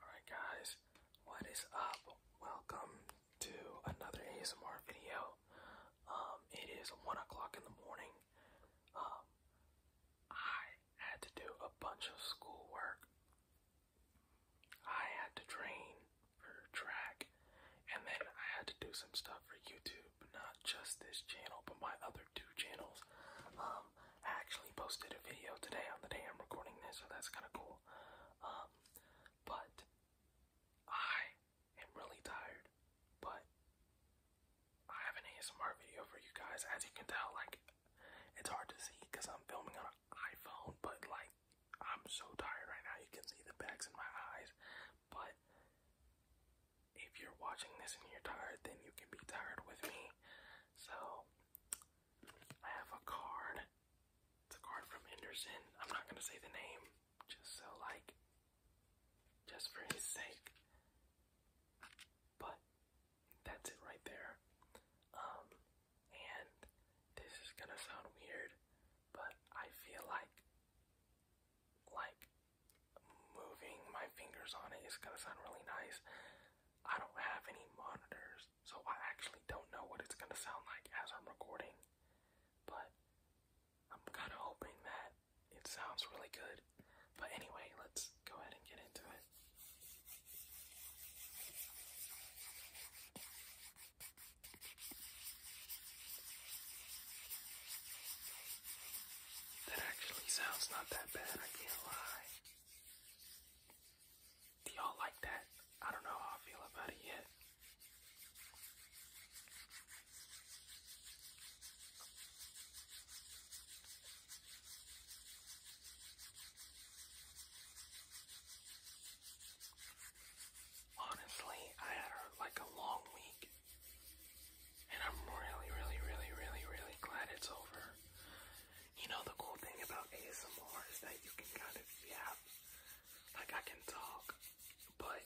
Alright guys, what is up? Welcome to another ASMR video. Um, it is 1 o'clock in the morning. Um, I had to do a bunch of schoolwork. I had to train for track, and then I had to do some stuff for YouTube, not just this channel, but my other two channels. Um, I actually posted a video today on the day I'm recording this, so that's kind of cool. Um, but I am really tired, but I have an ASMR video for you guys. As you can tell, like, it's hard to see because I'm filming on an iPhone, but like, I'm so tired right now. You can see the bags in my eyes, but if you're watching this and you're tired, then you can be tired with me. So, I have a card. It's a card from Henderson. I'm not gonna say the name, just so like, just for his sake. But that's it right there. Um, and this is gonna sound weird, but I feel like, like moving my fingers on it is gonna sound really nice. I don't have any monitors, so I actually don't know what it's gonna sound like as I'm recording, but I'm kind of hoping that it sounds really good. But anyway, let's go ahead and get into it. That actually sounds not that bad, I can't lie. Do y'all like that? I don't know how I feel about it yet. Honestly, I had like a long week, and I'm really, really, really, really, really glad it's over. You know, the cool thing about ASMR is that you can kind of, yeah, like I can talk, but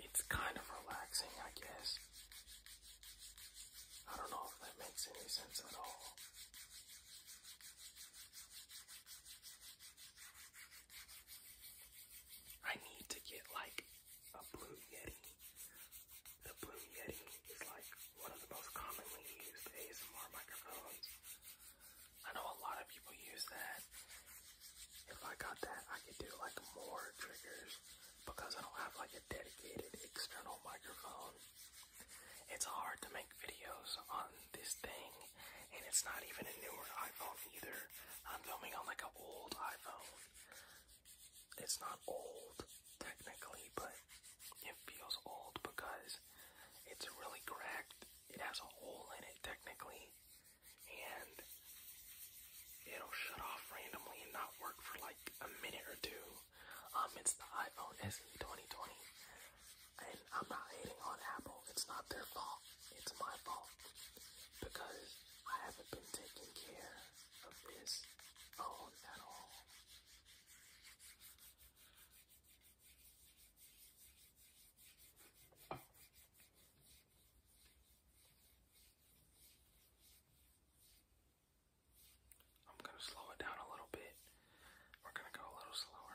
it's kind of relaxing, I guess. I don't know if that makes any sense at all. I need to get like a Blue Yeti. The Blue Yeti is like one of the most commonly used ASMR microphones. I know a lot of people use that. If I got that, I could do like more triggers because I don't have like a dedicated external microphone. It's hard to make videos on this thing, and it's not even a newer iPhone either. I'm filming on like an old iPhone. It's not old, technically, but it feels old because it's really cracked. It has a hole in it technically, and it'll shut off randomly and not work for like a minute or two. Um, it's the iPhone SE 2020, and I'm not hating on Apple. It's not their fault. It's my fault because I haven't been taking care of his I'm going to slow it down a little bit. We're going to go a little slower.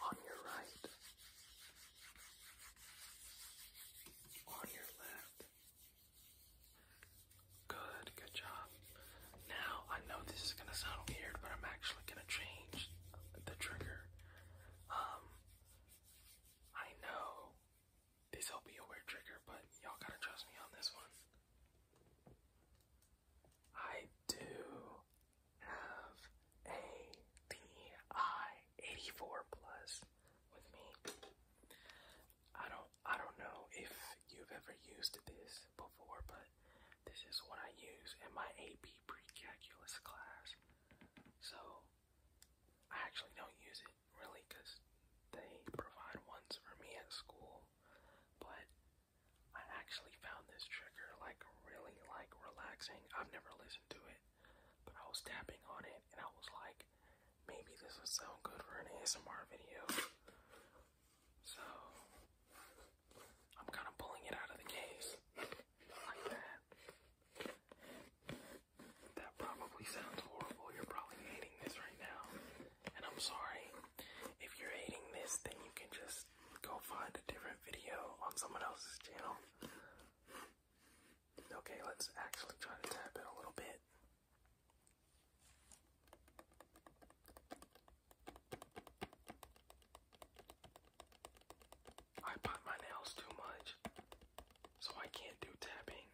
on your right, on your left. Good, good job. Now, I know this is going to sound weird, but I'm actually going to change the trigger. Um, I know this'll be a weird trigger, but y'all gotta trust me on this one. I do have a DI84 Plus with me. I don't I don't know if you've ever used this before, but this is what I use in my AP pre-calculus class. So I actually don't use it really because they provide ones for me at school, but I actually found this trigger like really like relaxing. I've never listened to it, but I was tapping on it and I was like, maybe this would sound good for an ASMR video. So I'm kind of pulling it out of the case like that. That probably sounds horrible. You're probably hating this right now, and I'm sorry. If you're hating this, then you can just go find a different video on someone else's channel. Okay, let's actually try to tap it a little bit. I bite my nails too much, so I can't do tapping.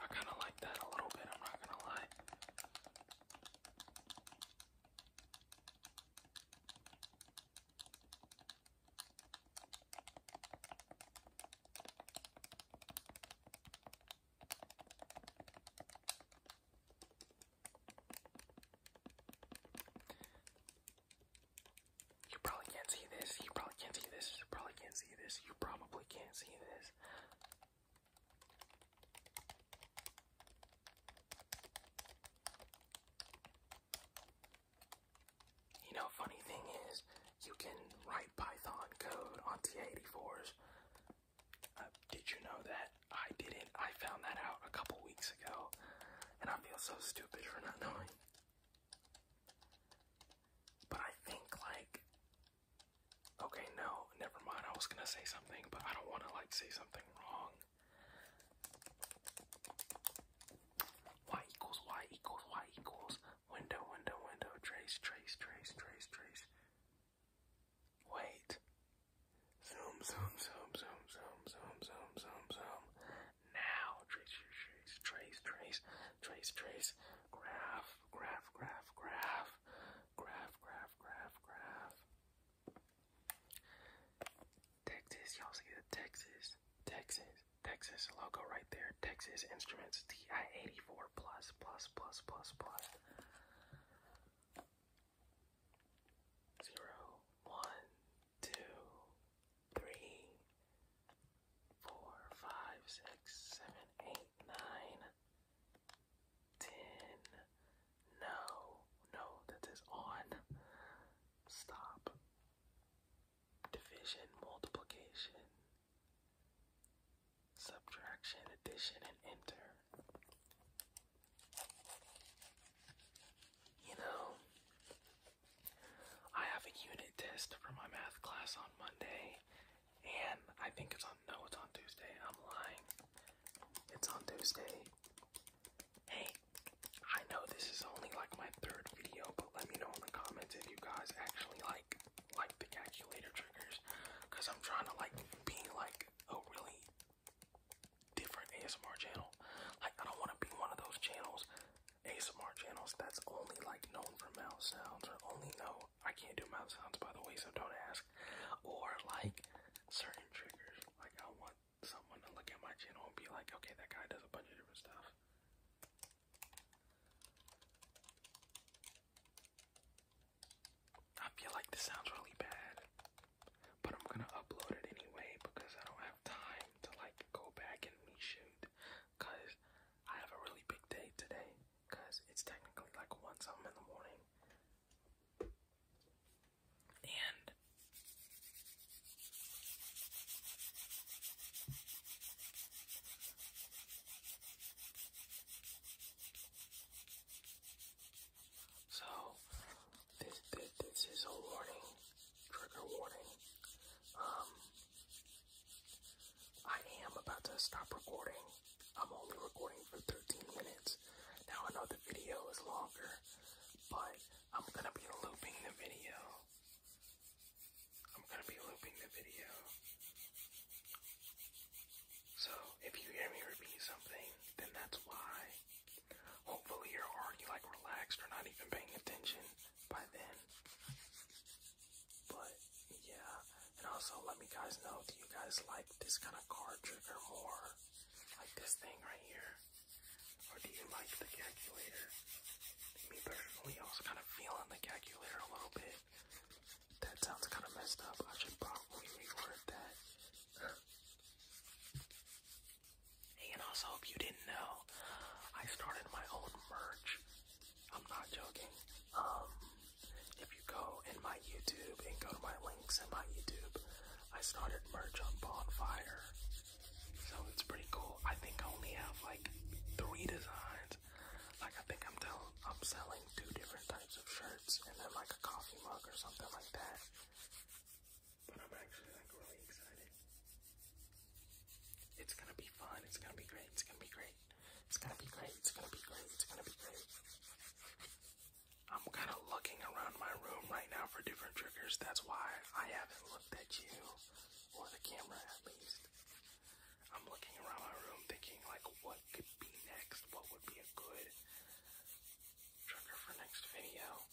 I kind of like that a little bit, I'm not going to lie. You probably can't see this. You probably can't see this. You probably can't see this. You probably can't see this. You know, funny thing is, you can write Python code on T84s. Uh, did you know that? I didn't. I found that out a couple weeks ago, and I feel so stupid for not knowing. But I think, like, okay, no, never mind. I was gonna say something, but I don't want to, like, say something wrong. Y equals Y equals Y equals Window, window, window. Trace, trace, trace, trace, trace. Wait. Zoom, zoom, zoom, zoom, zoom, zoom, zoom, zoom, zoom. Now, trace, trace, trace, trace, trace, trace. Graph, graph, graph, graph. Graph, graph, graph, graph. Texas, y'all see the Texas, Texas, Texas logo right there. Texas Instruments TI-84 plus plus plus plus plus. Zero, one, two, three, four, five, six, seven, eight, nine, ten. No, no, that is on. Stop division, multiplication, subtraction, addition, and enter. You know, I have a unit test for my math class on Monday, and I think it's on, no, it's on Tuesday. I'm lying. It's on Tuesday. Hey, I know this is only like my third video, but let me know in the comments if you guys actually like like the calculator triggers, cause I'm trying to like be like a really different ASMR channel. Like I don't want to be one of those channels, ASMR channels that's only like known for mouth sounds or only know I can't do mouth sounds by the way, so don't ask. Or like certain triggers. Like I want someone to look at my channel and be like, okay, that guy does a bunch of different stuff. I feel like this sounds really bad, but I'm gonna upload it anyway because I don't have time to like go back and reshoot. Cause I have a really big day today. Cause it's technically like one something in the morning, and so, this, this, is a warning, trigger warning. Um, I am about to stop recording. I'm only recording for 13 minutes. Now, I video is longer, but I'm gonna be looping the video I'm going to be looping the video. So, if you hear me repeat something, then that's why. Hopefully you're already like relaxed or not even paying attention by then. But, yeah. And also let me guys know, do you guys like this kind of card trigger more? Like this thing right here? Or do you like the calculator? Me personally, I was kind of feeling the calculator a little bit. That sounds kind of messed up. I should probably reword that. Hey, and also, if you didn't know, I started my own merch. I'm not joking. Um, if you go in my YouTube and go to my links in my YouTube, I started merch on Bonfire. So it's pretty cool. I think I only have like three designs. Like I think I'm telling I'm selling two different types of shirts and then like a coffee mug or something like that. But I'm actually like really excited. It's gonna be fun, it's gonna be great, it's gonna be great. It's gonna be great, it's gonna be great, it's gonna be great. I'm kind of looking around my room right now for different triggers. That's why I haven't looked at you or the camera at least. I'm looking around my room thinking like what could be next, what would be a good trigger for next video.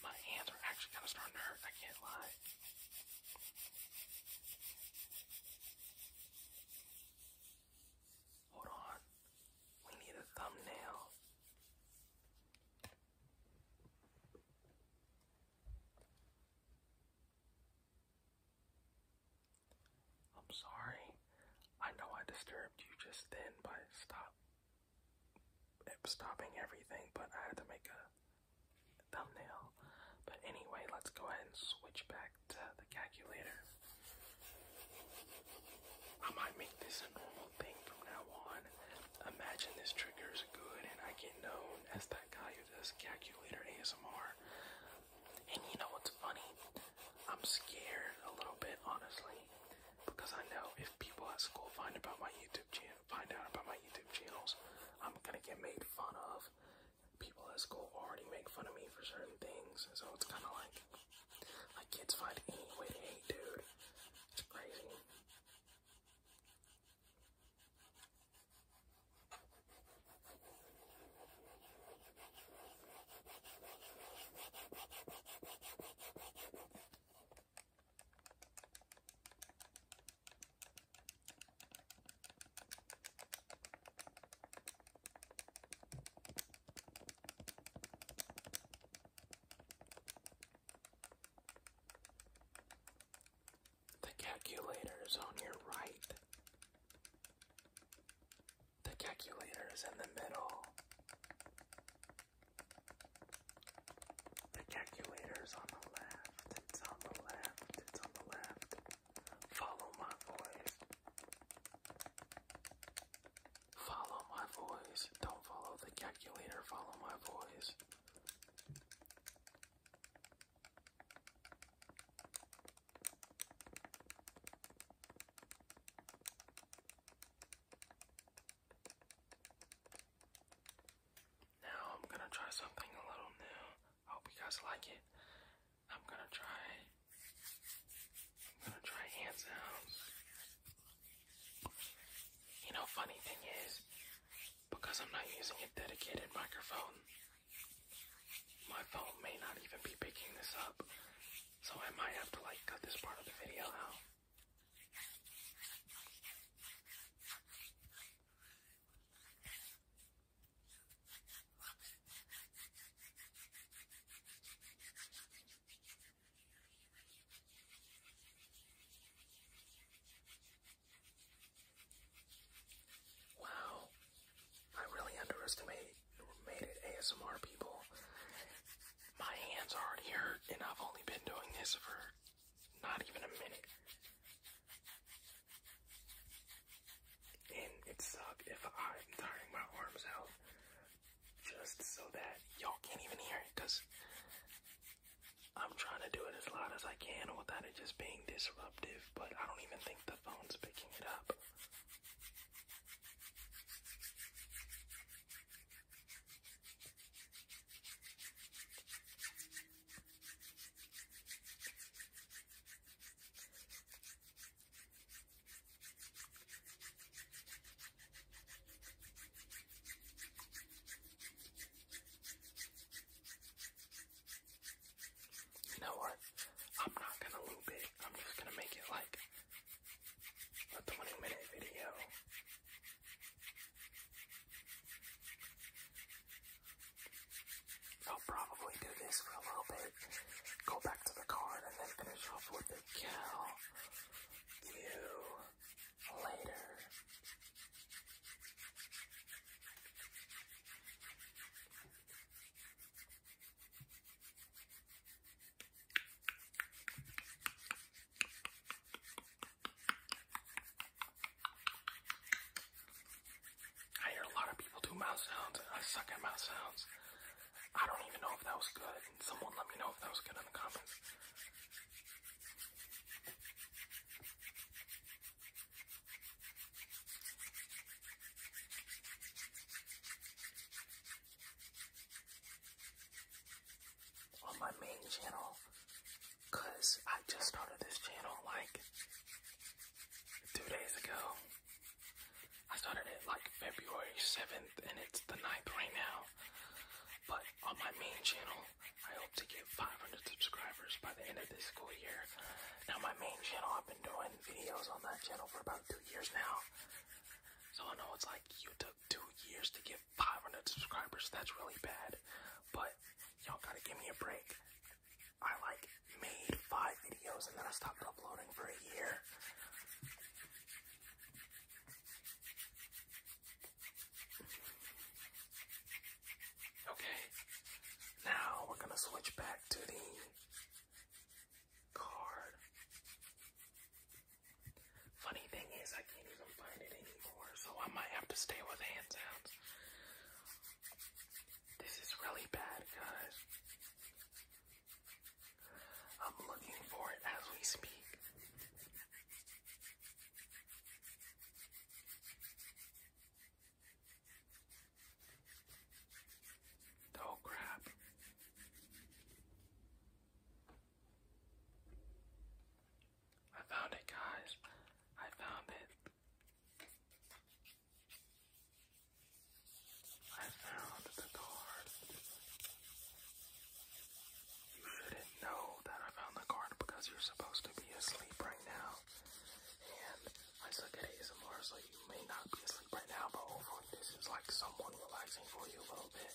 My hands are actually kind of starting to hurt, I can't lie. Hold on. We need a thumbnail. I'm sorry. I know I disturbed you just then but stop stopping everything, but I had to make a thumbnail. But anyway, let's go ahead and switch back to the calculator. I might make this a normal thing from now on. Imagine this trigger is good and I get known as that guy who does calculator ASMR. And you know what's funny? I'm scared a little bit, honestly, because I know if people at school find about my YouTube channel, find out about my YouTube channels, I'm gonna get made fun of. People at school already make fun of me for certain things, so it's kind of like my kids find any way to hate, dude. It's crazy. The calculator is on your right. The calculator is in the middle. The calculator is on the left. It's on the left. It's on the left. Follow my voice. Follow my voice. Don't follow the calculator, follow my voice. Now I'm gonna try something a little new. hope you guys like it. I'm gonna try I'm gonna try hand sounds. You know, funny thing is, because I'm not using a dedicated microphone, my phone may not even be picking this up. So I might have to like cut this part of the video out. Wow, I really underestimated ASMR people. My hands already hurt, and I've only been doing this for not even a minute. And it sucked if I'm tiring my arms out just so that y'all can't even hear it because I'm trying to do it as loud as I can without it just being disruptive, but I don't even think the phone's picking it up. You know what? I'm not gonna loop it. I'm just gonna make it like a 20 minute video. I'll probably do this for a little bit, go back to the card, and then finish off with the cow you later. I hear a lot of people do mouth sounds. I suck at mouth sounds. I don't even know if that was good. Someone let me know if that was good in the comments. On my main channel, because I just started this channel like two days ago. I started it like February 7th, and it's the 9th right now. But on my main channel, I hope to get 500 subscribers by the end of this school year. Now, my main channel, I've been doing videos on that channel for about two years now. So I know it's like you took two years to get 500 subscribers. That's really bad. But y'all gotta give me a break. I like made five videos and then I stopped uploading for a year. Okay, now we're going to switch back to the card. Funny thing is, I can't even find it anymore, so I might have to stay with hand sounds. This is really bad, guys. I'm looking for it as we speak. Oh crap. I found it, guys. I found it. I found the card. You shouldn't know that I found the card because you're supposed to be asleep right now. And I suck at ASMR, so you may not be asleep right now, but hopefully this is like somewhat relaxing for you a little bit.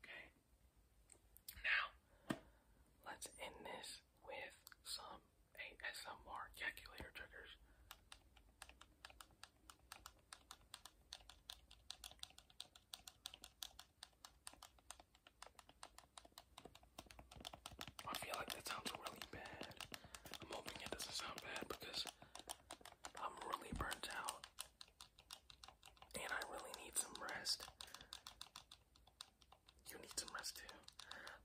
Okay. Now, let's end this with some ASMR calculator triggers. I feel like that sounds really bad. I'm hoping it doesn't sound bad because I'm really burnt out and I really need some rest. You need some rest too.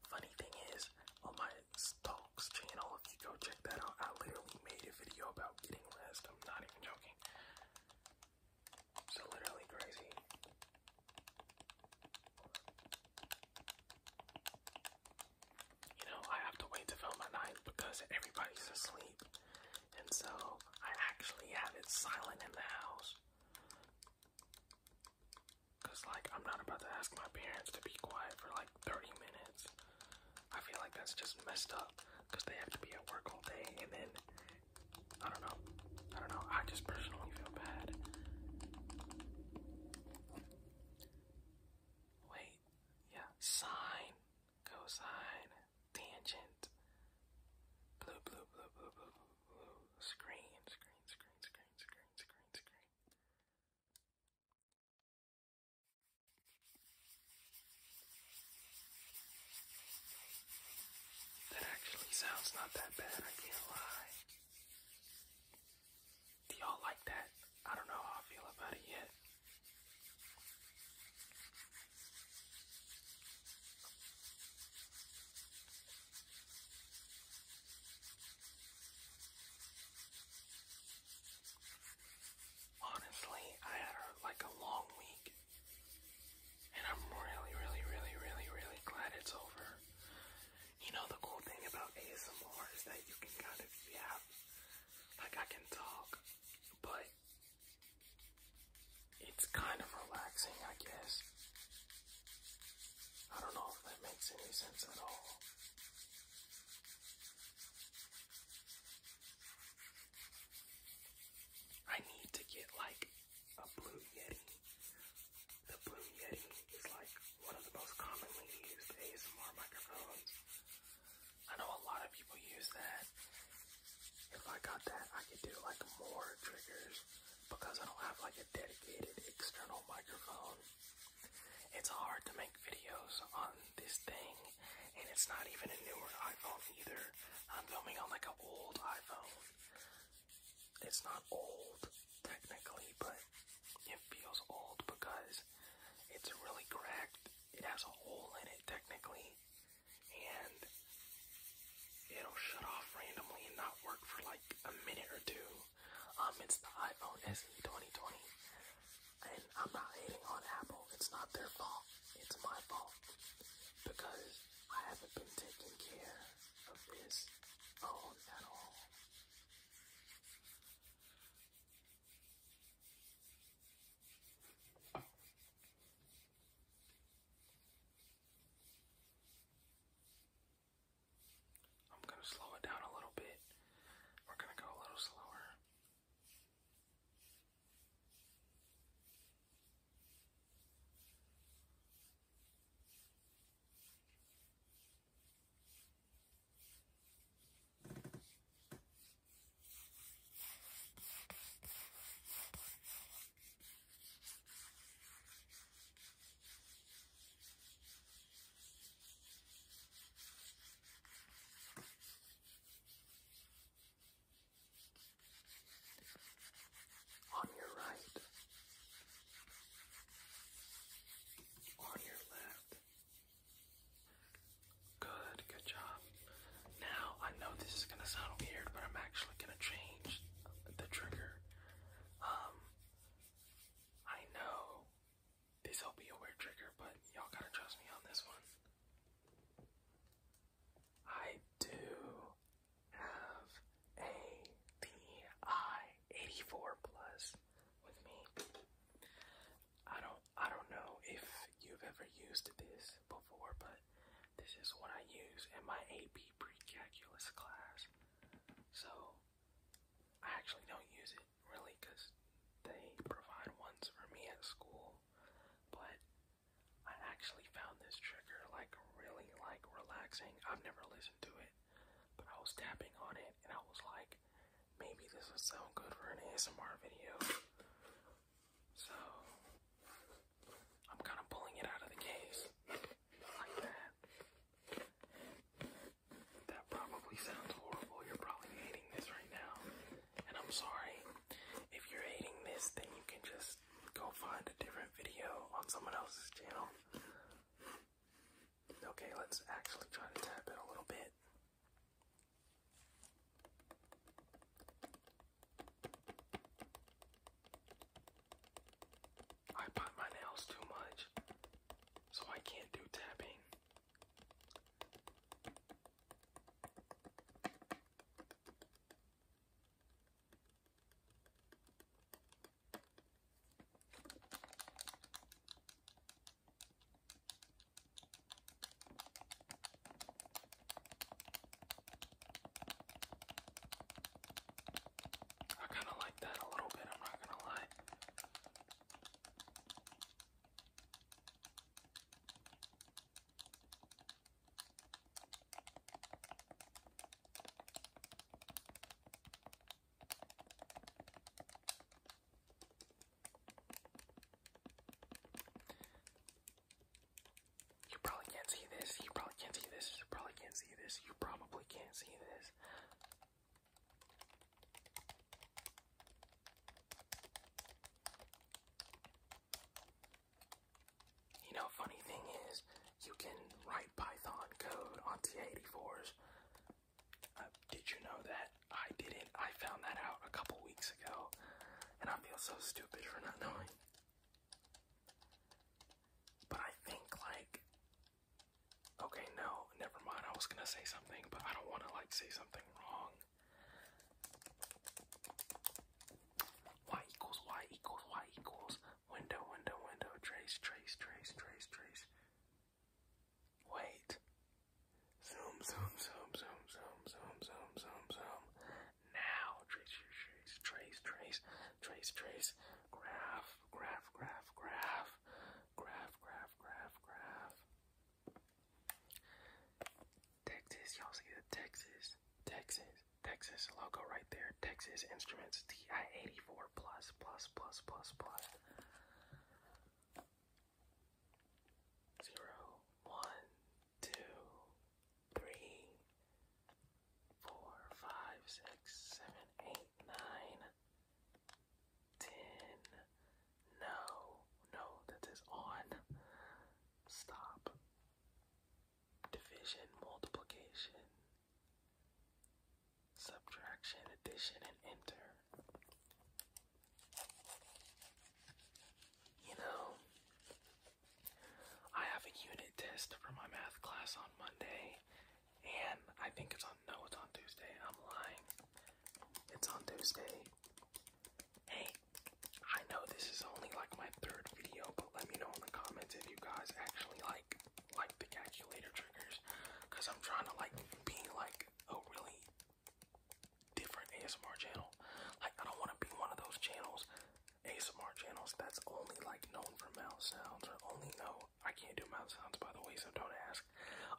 Funny thing is, on my Stalks channel, if you go check that out, I literally made a video about getting rest. I'm not even joking. So literally crazy you know, I have to wait to film at night because everybody's asleep. And so I actually have it silent in the house. Cause like I'm not about to ask my parents to be quiet for like 30 minutes. I feel like that's just messed up because they have to be at work all day and then I don't know. I don't know. I just personally feel bad. Wait. Yeah. Sign cosine, tangent, blue, blue, blue, blue, blue, blue, screen, screen, screen, screen, screen, screen, screen. That actually sounds not that bad, I can't lie. Do y'all like that? I don't know how I feel about it yet. Honestly, I had like a long week, and I'm really, really, really, really, really glad it's over. You know, the cool thing about ASMR is that you can kind of, you like I can talk, but it's kind of relaxing, I guess. I don't know if that makes any sense at all. I need to get like a Blue Yeti. The Blue Yeti is like one of the most commonly used ASMR microphones I know a lot of people use that. If I got that, I could do like more triggers because I don't have like a dedicated external microphone. It's hard to make videos on this thing, and it's not even a newer iPhone either. I'm filming on like an old iPhone. It's not old technically, but it feels old because it's really cracked. It has a hole in it technically, and it'll shut off randomly and not work for like a minute or two. Um, it's the iPhone SE 2020, and I'm not hating on Apple. It's not their fault. It's my fault because I haven't been taking care of this phone at all. I'm going to slow it down a little bit. We're going to go a little slower. On your right, on your left, Good, good job. Now, I know this is gonna sound weird, but I'm actually gonna change the trigger. Um, I know this'll be a weird trigger, but y'all gotta trust me on this one. I do have a DI 84 plus with me. I don't I don't know if you've ever used this before, but this is what I use in my AP pre-calculus class. So I actually don't use it really because they provide ones for me at school, but I actually found this trigger like really like relaxing. I've never listened to it, but I was tapping on it and I was like, maybe this would sound good for an ASMR video. So, I'm kind of pulling it out of the case like that. That probably sounds horrible. You're probably hating this right now. And I'm sorry. If you're hating this, then you can just go find a different video on someone else's channel. Okay, let's actually try to tap it a little bit. I bite my nails too much, so I can't do tapping. I kind of like that a little bit, I'm not going to lie. You probably can't see this. You probably can't see this. You probably can't see this. You probably can't see this. You know, funny thing is, you can write Python code on T84s uh, did you know that? I didn't. I found that out a couple weeks ago, and I feel so stupid for not knowing. But I think, like, okay, no, never mind. I was gonna say something, but I don't want to, like, say something wrong. Y equals Y equals Y equals window, window, window, trace, trace, trace, trace, trace. Wait. Zoom, zoom, zoom, zoom, zoom, zoom, zoom, zoom, zoom. Now, trace, trace, trace, trace, trace, trace, graph, graph, graph, graph, graph, graph, graph, graph. Texas, y'all see the Texas, Texas, Texas logo right there. Texas Instruments TI-84 plus, plus, plus, plus, plus zero, one, two, three, four, five, six, seven, eight, nine, ten. No, no, that is on. Stop. Division, multiplication subtraction, addition, and enter. You know, I have a unit test for my math class on Monday, and I think it's on, no, it's on Tuesday. I'm lying. It's on Tuesday. Hey, I know this is only like my third video, but let me know in the comments if you guys actually like like picaculator triggers because I'm trying to like be like a really different ASMR channel. Like I don't want to be one of those channels, ASMR channels that's only like known for mouth sounds or only know I can't do mouth sounds by the way, so don't ask.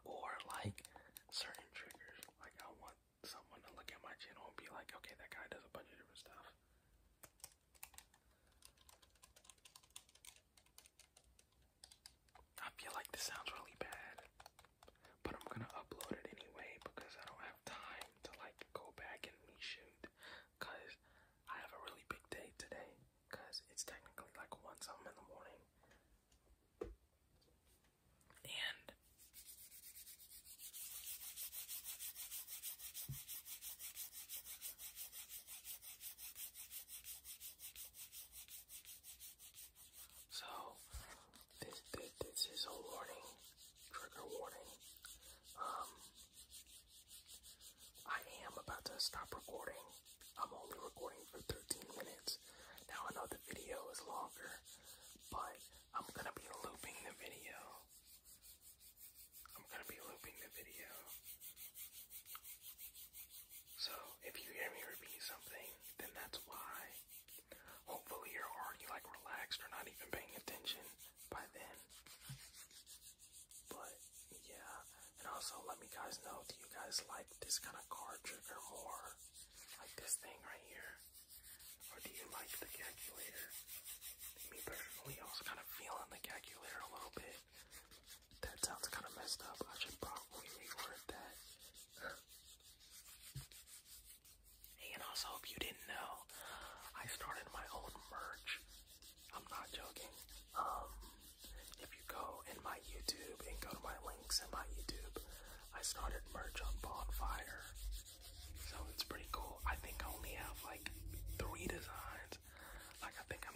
Or like certain triggers. Like I want someone to look at my channel and be like, okay, that guy does a bunch of different stuff. I feel like this sounds really bad, but I'm gonna upload it anyway because I don't have time to like go back and reshoot. Cause I have a really big day today. Cause it's technically like one something in the morning, and so this, this, this is a warning, trigger warning. Um, I am about to stop recording. I'm only recording for 13 minutes. Now I know the video is longer, but I'm gonna be looping the video. I'm gonna be looping the video. So if you hear me repeat something, then that's why. Hopefully you're already like relaxed or not even paying attention by then. But yeah, and also let me guys know, do you guys like this kind of card trigger more? Like this thing right here? Or do you like the calculator? Me personally, I was kind of feeling the calculator a little bit. That sounds kind of messed up. I should probably reword that. hey, and also, if you didn't know, I started my own merch. I'm not joking. Um, if you go in my YouTube and go to my links in my YouTube, I started merch on Bonfire. So it's pretty cool. I think I only have like three designs like I think I'm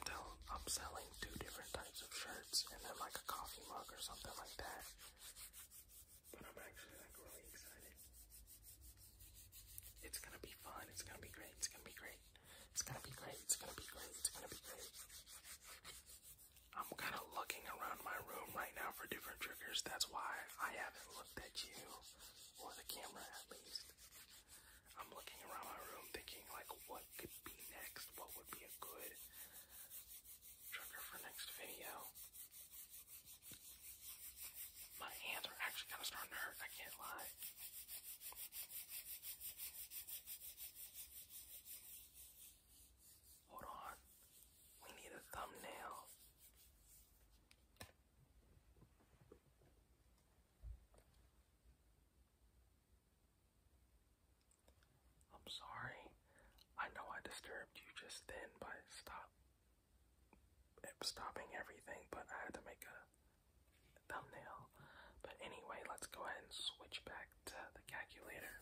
selling two different types of shirts, and then like a coffee mug or something like that. But I'm actually like really excited. It's gonna be fun. It's gonna be great. It's gonna be great. It's gonna be great. It's gonna be great. It's gonna be great. I'm kind of looking around my room right now for different triggers. That's why I haven't looked at you or the camera at least. I'm looking around my room thinking like what could be next, what would be a good trigger for next video. My hands are actually kind of starting to hurt, I can't lie. Hold on. We need a thumbnail. I'm sorry. I know I disturbed you just then but stop stopping everything, but I had to make a thumbnail. But anyway, let's go ahead and switch back to the calculator.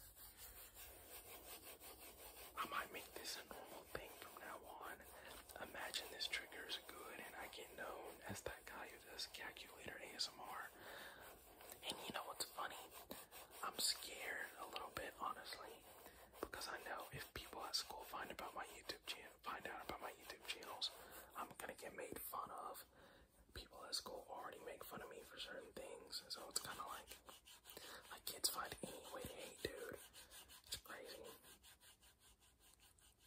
I might make this a normal thing from now on. Imagine this trigger is good and I get known as that guy this calculator ASMR. And you know what's funny? I'm scared a little bit, honestly, because I know if people at school find out about my YouTube channel, find out about my YouTube channels, I'm gonna get made fun of. People at school already make fun of me for certain things, so it's kind of like, like kids find any way to hate, dude. It's crazy.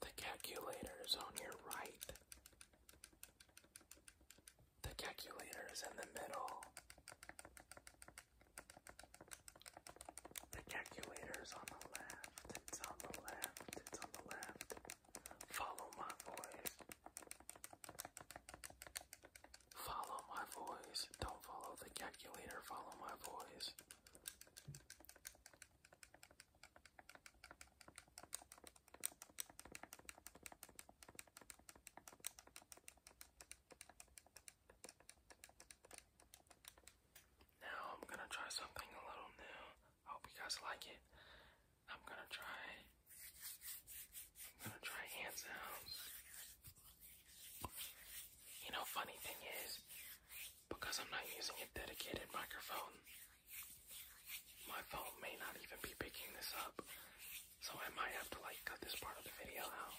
The calculator is on your right. The calculator is in the middle. The calculator is on the left. It's on the left. It's on the left. Follow my voice. Follow my voice. Don't follow the calculator. Follow my voice. Now I'm gonna try something a little new. I hope you guys like it. I'm gonna try I'm gonna try hand sounds. You know funny thing is because I'm not using a dedicated microphone. My phone may not even be picking this up, so I might have to like cut this part of the video out.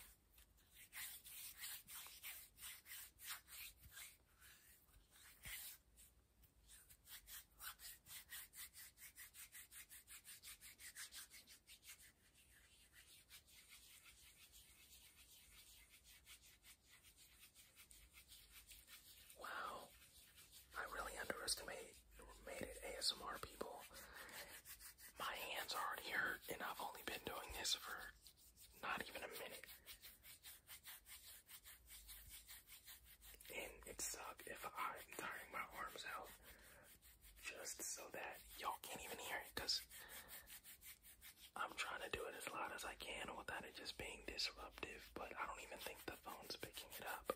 Wow, I really underestimated ASMR people. My hands already hurt, and I've only been doing this for not even a minute. And it sucked if I'm tiring my arms out just so that y'all can't even hear it because I'm trying to do it as loud as I can without it just being disruptive, but I don't even think the phone's picking it up.